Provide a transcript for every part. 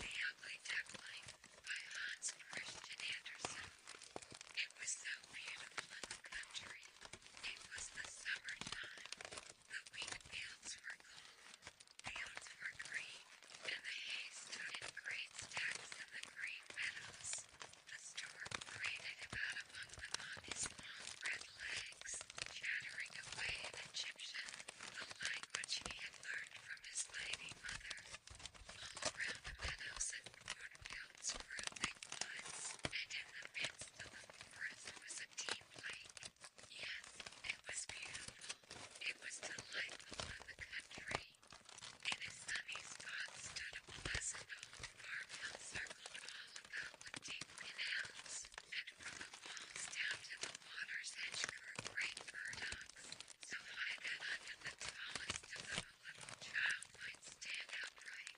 Family Duckling by Hans Christian Andersen. It was so beautiful in the country. It was the summer time. The wheat fields were golden, fields were green, and the hay stood in great stacks in the green meadows. The storm grated about among them on his legs, chattering away in Egyptian, a language he had learned from his lady mother. All around the meadows and cornfields grew thick woods, and in the midst of the forest was a deep lake. Yes, it was beautiful. It was delightful in the country. In a sunny spot stood a pleasant old farmhouse circled all about with deep canals walls down to the water's edge grew great burdocks, so high that under the tallest of the a little child might stand upright.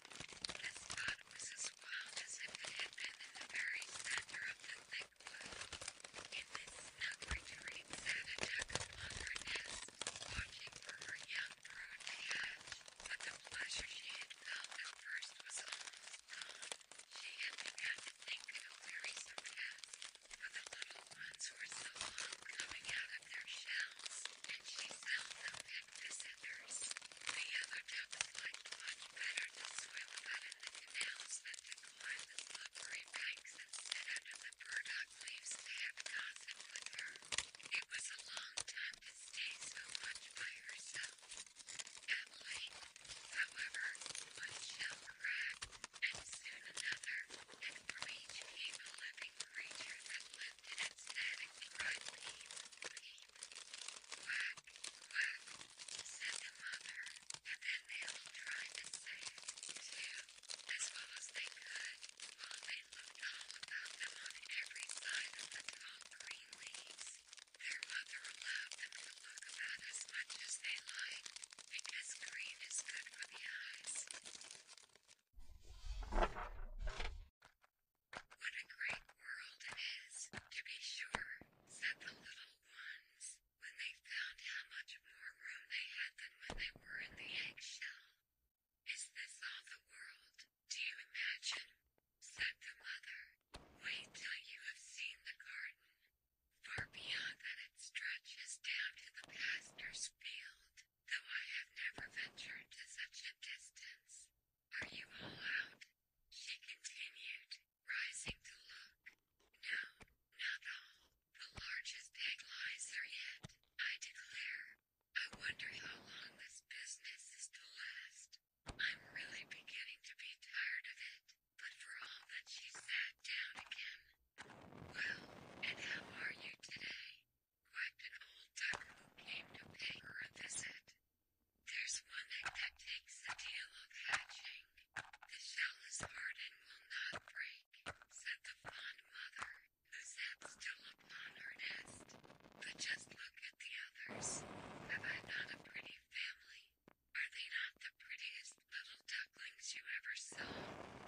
The spot was as wild as if it had been in the very center of the thick wood. In this snug retreat sat a duck upon her nest, watching for her young brood to hatch. But the pleasure she had Though at first was almost gone, she had begun to think how very surprised for the little ones were so long coming out of their shells, and she seldom picked visitors. The other ducks liked much better to swim about in the canals than to climb the slippery banks and sit under the burdock leaves to have gossip with her. It was a long time to stay so much by herself alloy, however, one shell cracked, and soon another, and from each came a living creature that lifted its head and cried, Peep, peep. Quack, quack, said the mother, and then they all tried to say it, too, as well as they could, while they looked all about them on every side of the tall green leaves. Their mother allowed them to look about as much as they liked, because green is good for the eyes. What a great world it is, to be sure, said the little ones, when they found how much more room they had than when they were in the eggshell. Is this all the world? Do you imagine? said the mother. Wait till you have seen the garden. Far beyond that it stretches down to the pastor's field, though I have never ventured to such a distance. Are you all out? She continued, rising to look. No, not all. The largest egg lies there yet, I declare. I wonder how long this business is to last. I'm really beginning to be tired of it, but for all that she sat down again. Well, and how are you today? Quite an old duck who came to pay her a visit. There's one egg that takes the deal of hatching. The shell is hard and will not break, said the fond mother, who sat still upon her nest. But just look at the others. Have I not a pretty family? Are they not the prettiest little ducklings you ever saw?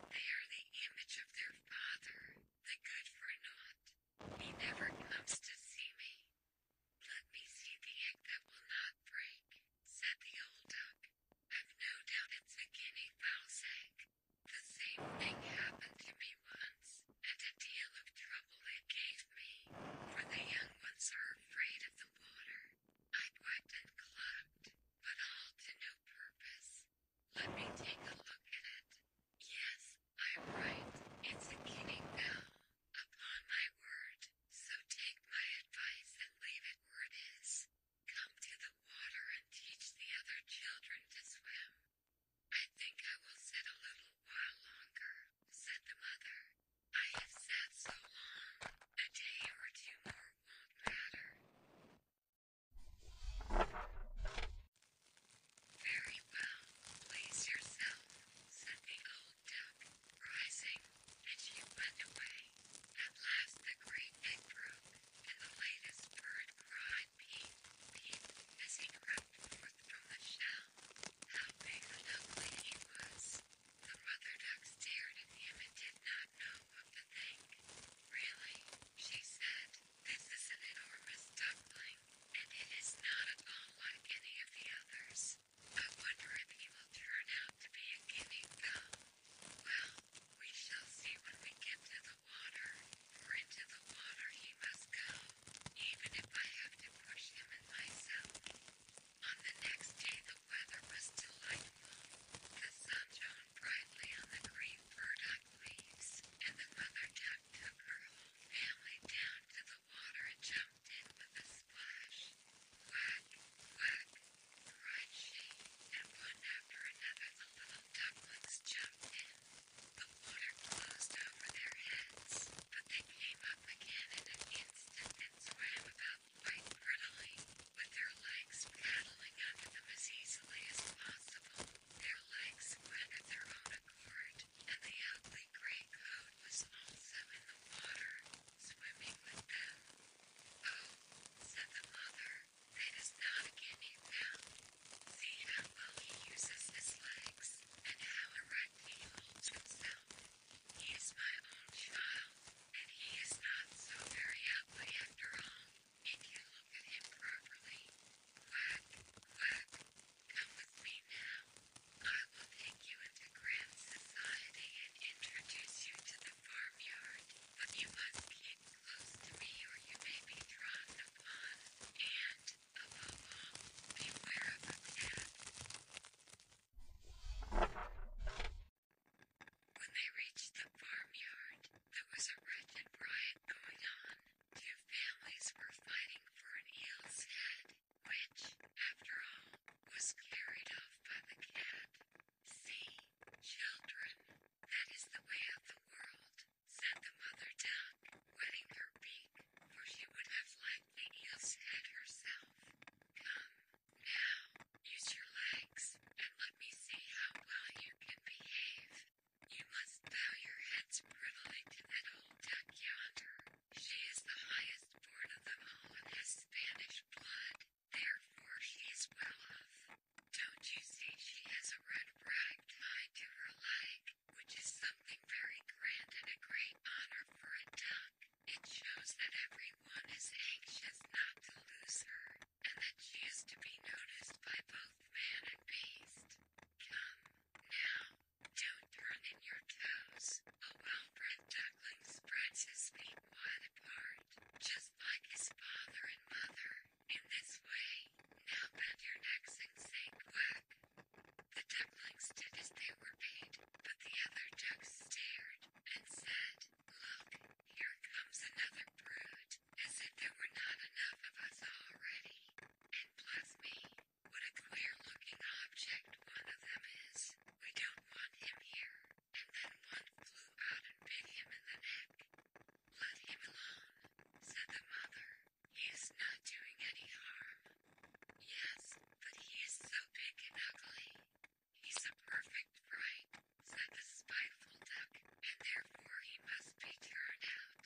They are the image of their father, the good for naught. He never comes to see me. Let me see the egg that will not break, said the old duck. I've no doubt it's a guinea egg. The same thing happened to me once and a deal of trouble it gave me, for the young ones are afraid of the water. I quacked and clucked, but all to no purpose. Let me take a look at it. Yes, I'm right. It's a kidding bell. Upon my word, so take my advice and leave it where it is. Come to the water and teach the other children to swim. I think I will sit a little while longer, said the mother. I have sat so long, a day or two more won't matter. Very well, please yourself, said the old duck, rising, and she went away. At last the great egg broke, and the latest bird cried peep, peep, as he for the foolish how big and ugly he was. The mother duck stared at him and did not know what to think. Really, she said, this is an enormous duckling, and it is not at all like any of the others. I uh, wonder if he will turn out to be a guinea fowl. Well, we shall see when we get to the water, into the water he must go even if I have to push him and myself. On the next day, the weather was delightful. The sun shone brightly on the green burdock leaves, and the mother duck took her whole family down to the water and jumped in with a splash. Quack, quack, cried and one after another the little ducklings jumped in. The water closed over their heads, but they came up again in an instant and swam about quite prettily, with their legs paddling under them as easily as possible. Their legs went of their own accord, and the ugly grey cloud was also in the water, swimming with them. Oh, said the mother, that is not again See how he uses his legs and how erect he holds himself. He is my own child, and he is not so very ugly after all, if you look at him properly. Quack, quack, come with me now. I will take you into grand society and introduce you to the farmyard, but you must keep close to me or you may be drawn upon, and Beware of a cat. When they reached the farmyard, there was a wretched riot going on. Two families were fighting for an eel's head, which, after all, was carried off by the cat. See, children, that is the way of the world, said the mother duck, wetting her beak for she would have liked me to head yourself. Come, now, use your legs, and let me see how well you can behave. You must bow your heads prettily to that old duck yonder. She is the highest born of them all and has Spanish blood, therefore she is well off. Don't you see she has a red rag tied to her leg? which is something very grand and a great honor for a duck. It shows that everyone is anxious not to lose her, and that she is to be noticed by both man and beast. Come, now, don't turn in your toes. A well-bred duckling spreads his feet wide apart, just like his father and mother. In this way, now bend your necks and say quack. The ducklings did as they were bade, but the other ducks stared and said, Look, here comes another brood, as if there were not enough of us already. And bless me, what a queer looking object one of them is. We don't want him here. And then one flew out and bit him in the neck. Let him alone, said the mother. He is not doing any harm. Yes, but he is so big and ugly. He's a perfect fright, said the spiteful duck, and therefore he must be turned out.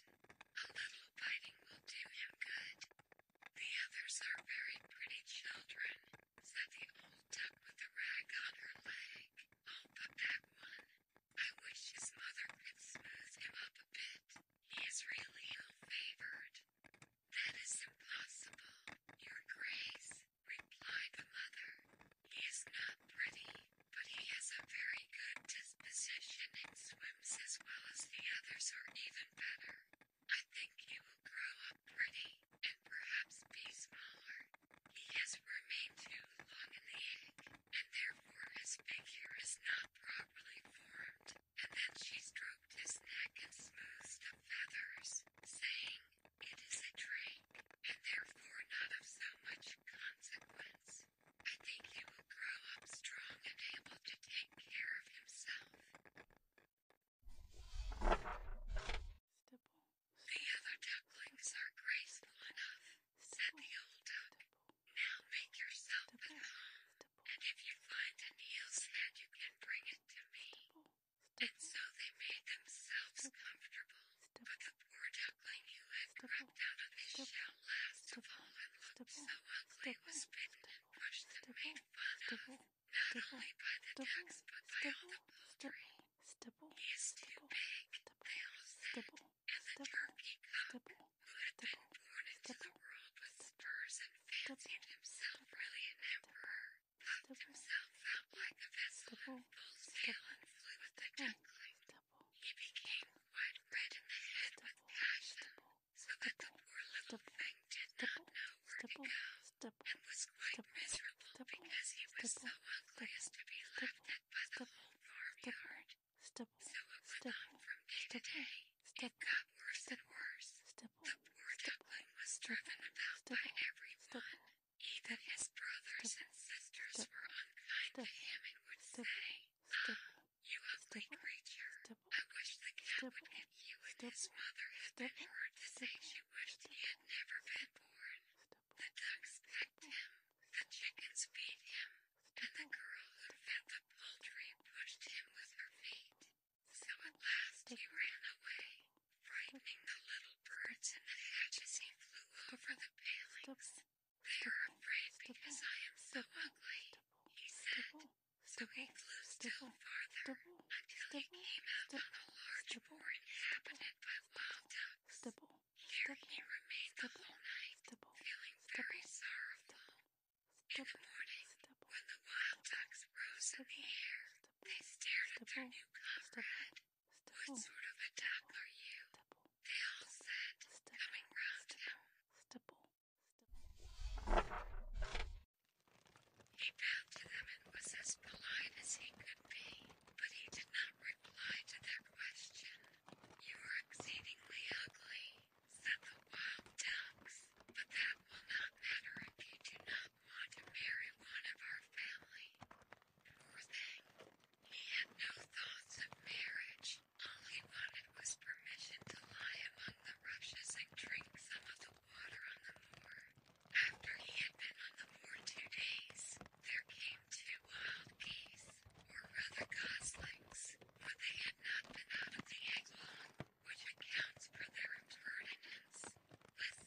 A little biting will do him good. The others are very pretty children, said the old duck with the rag on her leg. Oh, but that one. I wish his mother could smooth him up a bit. He is really ill favored. That is impossible, Your Grace, replied the mother. He is not pretty, but he has a very good disposition and swims as well as the others, or even better. I think he will grow up pretty and perhaps be smaller. He has remained too long in the egg, and therefore his figure is not properly formed and then she stroked his neck and smoothed the feathers, saying, It is a drake, and therefore not of so much consequence. I think he will grow up strong and able to take care of himself. The other ducklings are graceful enough, said the old duck. Now make yourself at home, and if you find a Neel's head, you can bring it to me. And so they made themselves comfortable, but the poor duckling who had crept out of his shell last of all and looked so ugly was bitten and pushed by the ducks, but the poultry. He is too big, they all said, the turkey out that everyone in the world was spurs and fancied himself really emperor, puffed himself out like a vessel He became quite red in the head with passion, so the poor little thing did not know where was quite miserable because he was so ugly as to be laughed at by the whole farmyard. So it from day day it got worse and worse. The poor duckling was driven about by everyone. Even his brothers and sisters were unkind to him and would Stipple. say, ah, You ugly Stipple. creature, I wish the cat Stipple. you and Stipple. his mother had Stipple. been to say she wished he had never been born. The ducks pecked him, the chickens feed him, then the girl in the poultry pushed him with her feet. So at last he ran away, frightening the little birds in the hedge he flew over the palings. They are afraid because I am so ugly, he said. So he flew still farther until he came out a large moor inhabited by wild ducks. Here he remained the night, feeling very sorrowful. In the morning, when the wild ducks rose to the air, they stared at their new comrade. What sort of a duck are you? They all said, coming round him. He bowed to them and was as polite as he could be, but he did not reply to their question. You are exceedingly ugly, said the wild ducks, but that will not matter if you do not want to marry one of our family. Poor thing, he had no thoughts of marriage. All he wanted was permission to lie among the rushes and drink some of the water on the moor. After he had been on the moor two days, there came two wild geese, or rather goslings, for they had not been out of the egg long which accounts for their impertinence. Listen,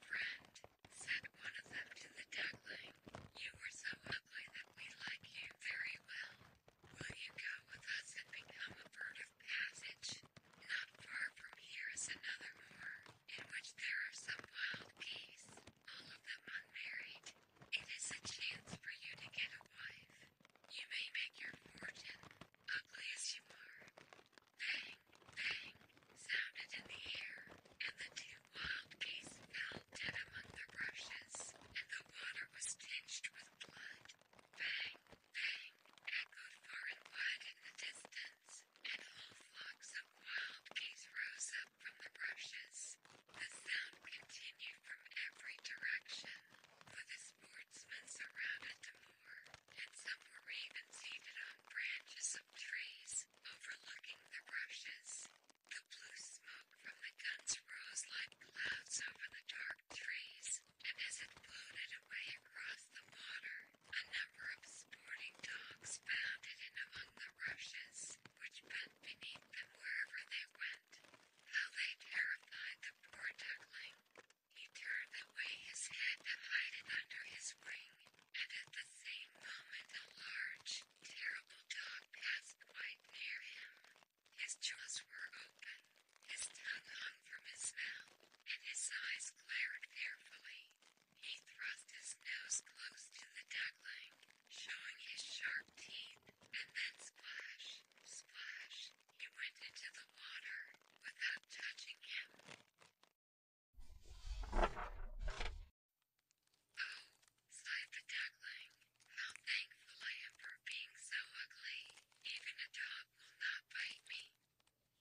friend, said one of them to the duckling, you were so ugly that we like you very well. Will you go with us and become a bird of passage? Not far from here is another moor, in which there are some wild geese, all of them unmarried. It is a chance for you to get a wife. You may make your fortune, ugly as you are. Bang, bang, sounded in the air, and the two wild geese fell dead among the rushes, and the water was tinged with blood. Bang, bang, echoed far and wide in the distance, and whole flocks of wild geese rose up from the rushes. The sound continued from every direction, for the sportsmen surrounded the moor, and some were ravens seated on branches of trees, overlooking the rushes. The blue smoke from the guns rose like clouds over the dark trees, and as it floated away across the water, a number of sporting dogs bounded in among the rushes, which bent beneath them wherever they went. How they terrified the poor duckling. He turned away his head and hid it under his wing, and at the same moment a large, terrible dog passed quite near him. His jaws were open, his tongue hung from his mouth, and his eyes glared fearfully. He thrust his nose close to the duckling, showing his sharp teeth splash, splash, he went into the water without touching him. Oh, sighed duckling, how thankful I am for being so ugly. Even a dog will not bite me.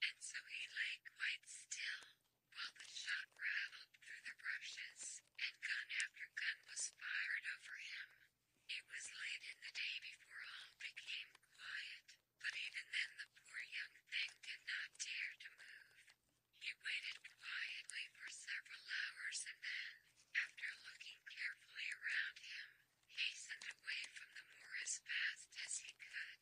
And so he lay quite still while the shot rattled through the bushes and gun after gun was fired over him. It was late in the day before all became quiet, but even then the poor young thing did not dare to move. He waited quietly for several hours and then, after looking carefully around him, hastened away from the moor as fast as he could.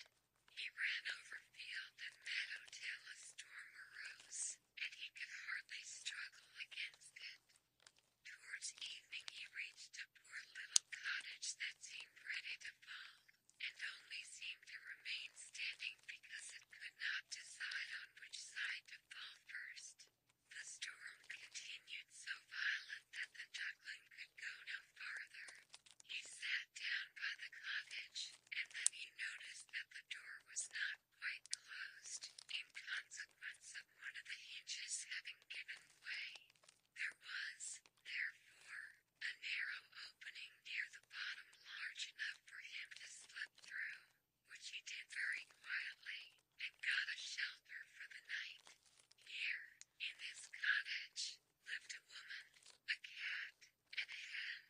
He ran over field and meadow till a storm arose, and he could hardly struggle against it. Towards evening he reached a poor little cottage that seemed ready to fall, and only seemed to remain standing because it could not decide on which side to fall first. The storm continued so violent that the duckling could go no farther. He sat down by the cottage, and then he noticed that the door was not quite closed, in consequence one of the hinges having given way. There was, therefore, a narrow opening near the bottom large enough for him to slip through, which he did very quietly, and got a shelter for the night. Here, in this cottage, lived a woman, a cat, and a hen.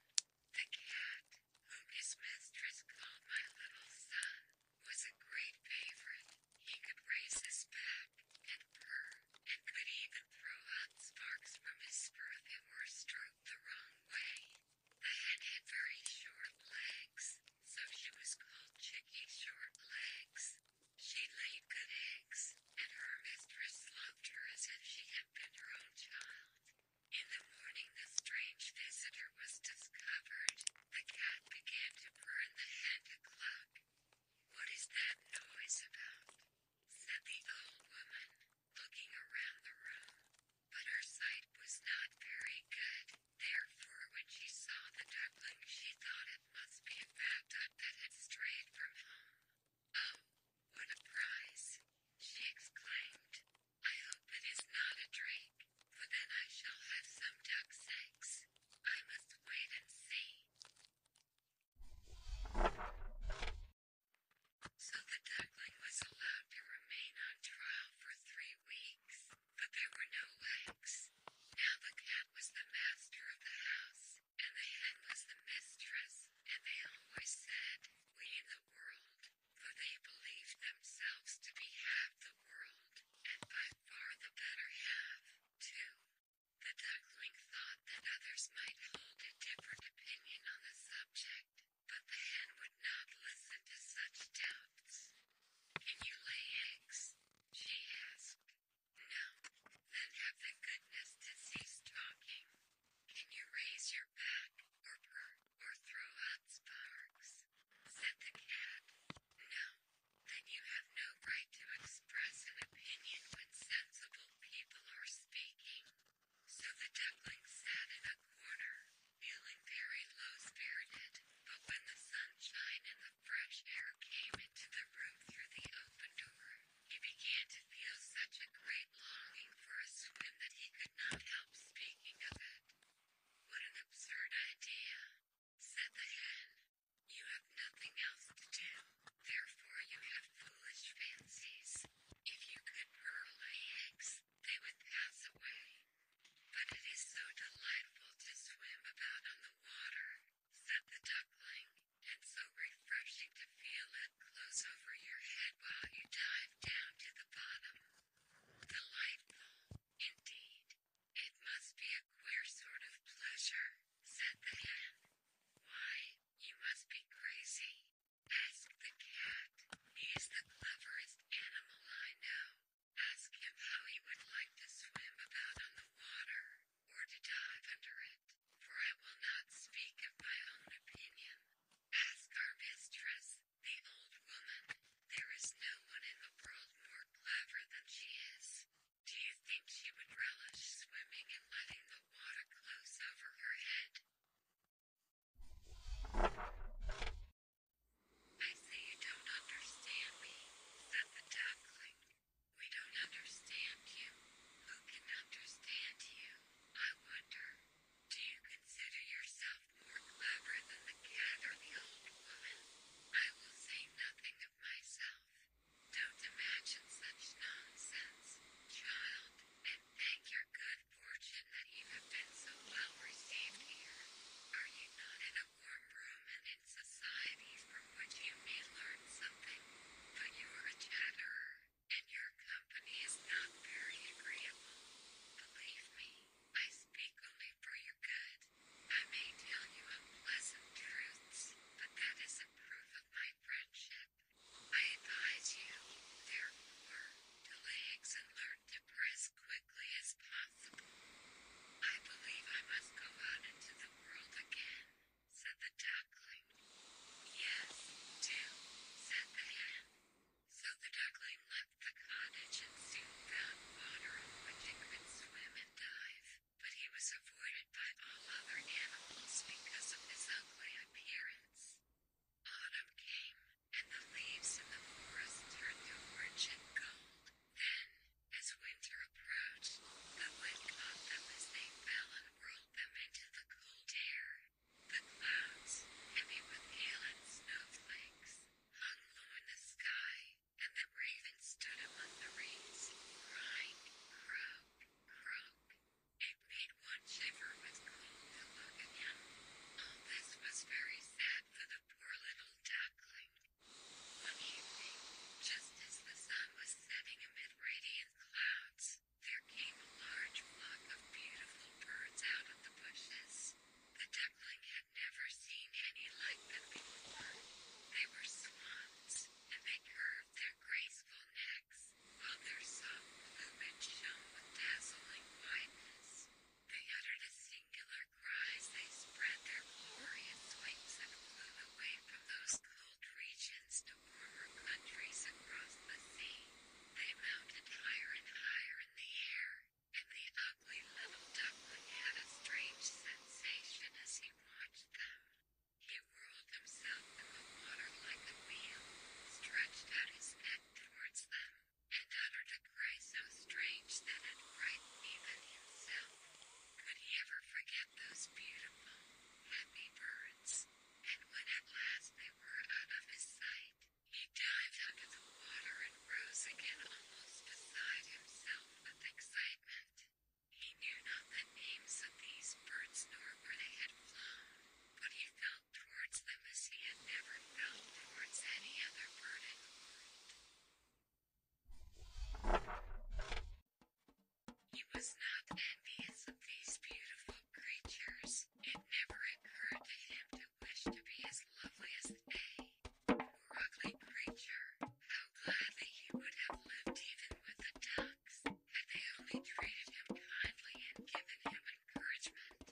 The cat, whom his mistress called my little son, was a great favorite. He could raise his back and purr, and could even throw out sparks from his spurt if they were stroked the wrong way. The hen had very short legs, so she was called Chicky Short Legs. She laid good eggs, and her mistress loved her as if she had been her own child. In the morning, the strange visitor was discovered, the cat began to burn the hand of the clock. What is that noise about? said the old woman, looking around the room. But her sight was not very good. Therefore, when she saw the duckling, she thought it must be a fact that had strayed from home. Oh, what a prize! she exclaimed. I hope it is not a drake for then I shall have some duck's eggs. I must wait and see. So the duckling was allowed to remain on trial for three weeks, but there were no eggs. Now the cat was the master of the house, and the hen was the mistress, and they always said, We in the world, for they believed themselves to be half the world and by far the better half, too. The duckling thought that others might hold a different opinion on the subject, but the hen would not listen to such doubts. Can you lay eggs? she asked. No. Then have the goodness to cease talking. Can you raise your back, or purr, or throw out sparks? said the cat. No, then you have no right to express an opinion when sensible people are speaking. So the duckling sat in a corner, feeling very low spirited, but when the sunshine and the fresh air came into the room through the open door, he began to feel such a great longing for a swim that he could not help speaking of it. What an absurd idea! said the hen. You have nothing else to do, therefore you have foolish fancies. If you could whirl my eggs, they would pass away. But it is so delightful to swim about on the water, said the duckling, and so refreshing to feel it close over your head while you dive down to the bottom. Delightful, indeed, it must be a queer sort of pleasure, said the hen. Why, you must be crazy, asked the cat. He's the cleverest animal I know. Ask him how he would like to swim about on the water, or to dive under it, for I will not speak of my own opinion. Ask our mistress, the old woman. There is no one in the world more good diver she is. Do you think she would relish swimming and letting the water close over her head? I say you don't understand me, said the duckling. We don't understand you. Who can understand you? I wonder. Do you consider yourself more clever than the cat or the old woman. I will say nothing of myself. Don't imagine such nonsense, child, and thank your good fortune that you have been so well received here. Are you not in a warm room and in society from which you may learn something? But you are a chatterer, and your company is not very agreeable. Believe me, I speak only for your good. I may tell you unpleasant truths, but that a proof of my friendship. I advise you, therefore, to relax and learn to press quickly as possible. I believe I must go out into the world again, said the duckling. Yes, do, said the hen. So the duckling left the cottage and soon found water on which it could swim and dive, but he was avoided by all other animals because of his ugly appearance. Autumn came, and the leaves in the forest turned to orange and gold. Then, as winter approached, the wind caught them as they fell and whirled them into the cold air. The clouds, heavy with hail and snowflakes, hung low in the sky, and the raven stood among the reeds, crying, croak, croak. It made one shiver with cold to look at him. All this was very sad for the poor little duckling. One evening, just as the sun was setting amid radiant clouds, there came a large flock of beautiful birds out of the bushes. The duckling had never seen any like them before. They were swans, and they curved their graceful necks, while their soft plumage shone with dazzling whiteness. They uttered a singular cry as they spread their glorious wings and flew away from those cold regions to warmer countries across the sea. They mounted higher and higher in the air, and the ugly little duckling had a strange sensation as he watched them. He whirled himself in the water like a wheel, stretched out his neck towards them, and uttered a cry so strange that it frightened even himself. Could he ever forget those beautiful, happy birds? And when at last they were out of his sight, he dived under the water and rose again almost beside himself all with excitement. He knew not the names of these birds nor where they had flown, but he felt towards them as he had never felt towards any other bird in the world. He was not envious of these beautiful creatures. It never occurred to him to wish to be as lovely as they. Lovely creature. How gladly he would have lived even with the ducks, had they only treated him kindly and given him encouragement.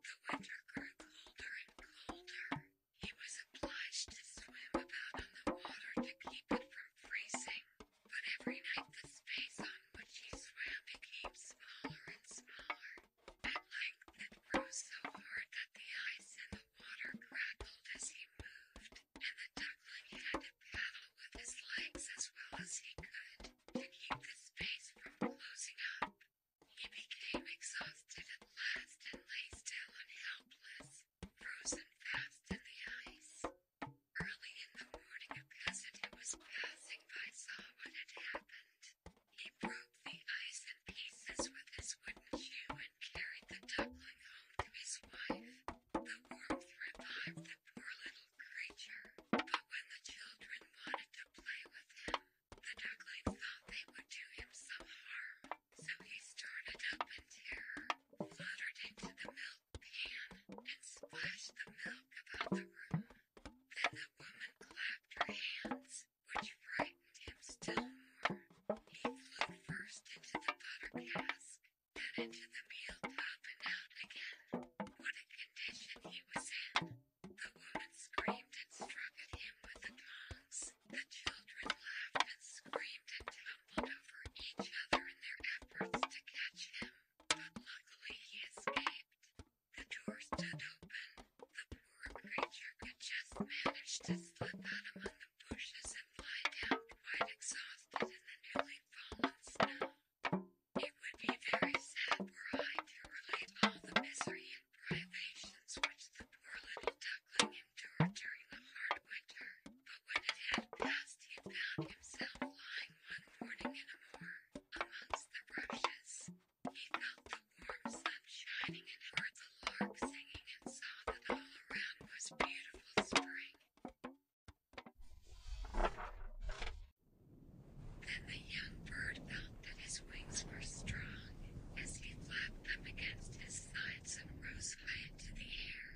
The winter grew colder and colder. He was obliged to swim about on the water to keep it from freezing, but every night the space on which he swam became smaller and smaller. At length it grew so hard that the ice in water crackled as he moved, and the duckling had to paddle with his legs as well as he could to keep his face from closing up. He became exhausted at last and lay still and helpless, frozen fast in the ice. Early in the morning, a peasant who was passing by saw what had happened. He broke the ice in pieces with his wooden shoe and carried the duckling home to his wife. The warmth revived the poor little creature, but when the children wanted to play with him, the duckling thought they would do him some harm, so he started up in terror, fluttered into the milk pan, and splashed the milk about the room. Then the woman clapped her hands, which frightened him still more. He flew first into the butter cask, then into the meal tub, and out again. What a condition he was in! The woman screamed and struck at him with the tongs. The children laughed and screamed and tumbled over each other in their efforts to catch him. But luckily he escaped. The door stood open poor creature could just manage to slip out among the bushes and lie down quite exhausted in the newly fallen snow. It would be very sad were I to relate all the misery and privations which the poor little duckling endured during the hard winter, but when it had passed, he found himself lying one morning in a moor amongst the rushes. He felt the warm sun shining and heard the lark singing and saw that all around was beautiful spring. Then the young bird felt that his wings were strong as he flapped them against his sides and rose high into the air.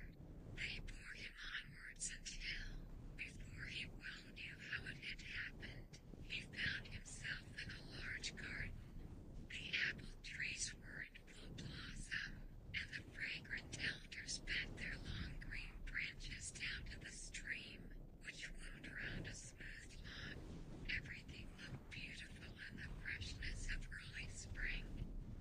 They bore him onwards until, before he well knew how it had happened, he found himself of a large garden. The apple trees were in full blossom, and the fragrant elders bent their long green branches down to the stream, which wound round a smooth lawn. Everything looked beautiful in the freshness of early spring.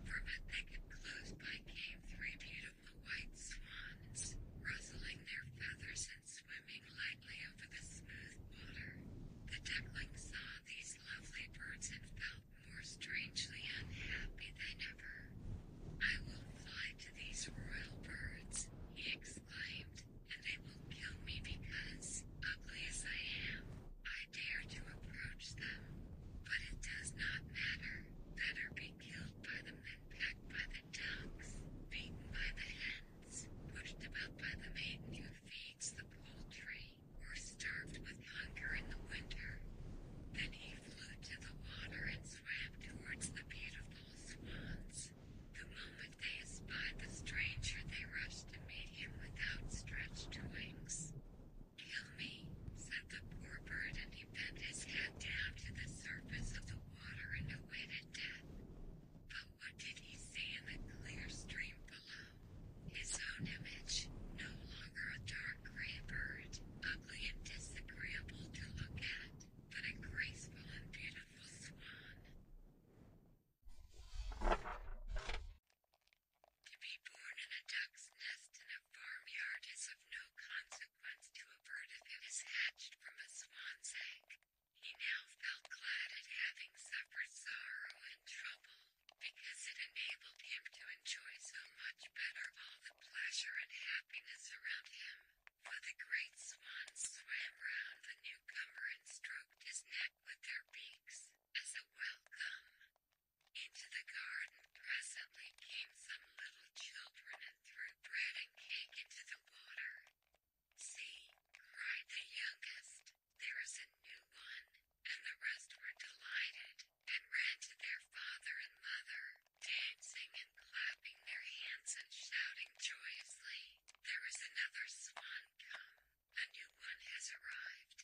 From a thicket close by came three beautiful white swans, rustling their feathers and swimming like over the smooth water. The duckling saw these lovely birds and felt more strangely unhappy than ever. I will fly to these royal birds, he exclaimed, and they will kill me because, ugly as I am, I dare to approach them. But it does not matter. Better be killed by the men, pecked by the dogs, beaten by the hens, pushed about by the maiden who feeds the poultry, or starved with hunger in the winter. Then he flew to the water and swam towards the beautiful swans. The moment they espied the stranger, they rushed to meet him with outstretched wings. Kill me, said the poor bird, and he bent his head down to the surface of the water and awaited death. But what did he say in the clear stream below? His own image, no longer a dark gray bird, ugly and disagreeable to look at, but a graceful and beautiful swan. To be born in a duck's nest in a farmyard is of no consequence to a bird if it is hatched from a swan's egg, he now felt glad at having suffered sorrow and trouble, because it enabled him to enjoy so much better all the pleasure and happiness around him. For the great swans swam round the newcomer and stroked his neck with their beaks, as a welcome. Into the garden presently came some little children and threw bread and cake into the water. See, cried the youngest, there is a new one, and the rest were delighted, and ran to their father and mother, dancing and clapping their hands and shouting joyously. There is another swan come, a new one has arrived.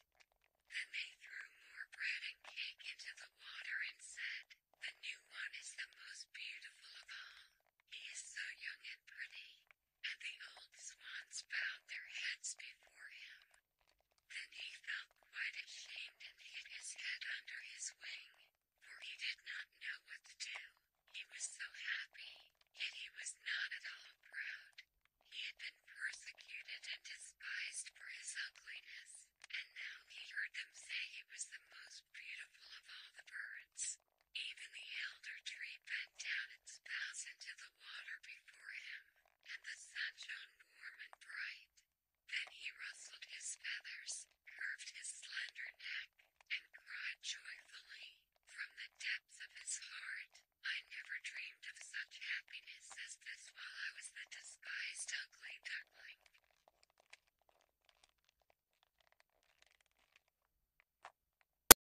Then they threw more bread and cake into the water and said, The new one is the most beautiful of all. He is so young and pretty, and The old swans bowed their heads before him. Then he felt quite ashamed and hid his head under his wing, for he did not know what to do. He was so happy, yet he was not at all proud. He had been persecuted and despised for his ugliness, and now he heard them say he was the most beautiful of all the birds. Even the elder tree bent down its boughs into the water before him, and the sun shone warm and bright. Then he rustled his feathers, curved his slender neck, and cried joyfully from the depths of his heart. I never dreamed of such happiness as this while I was the disguised ugly duckling.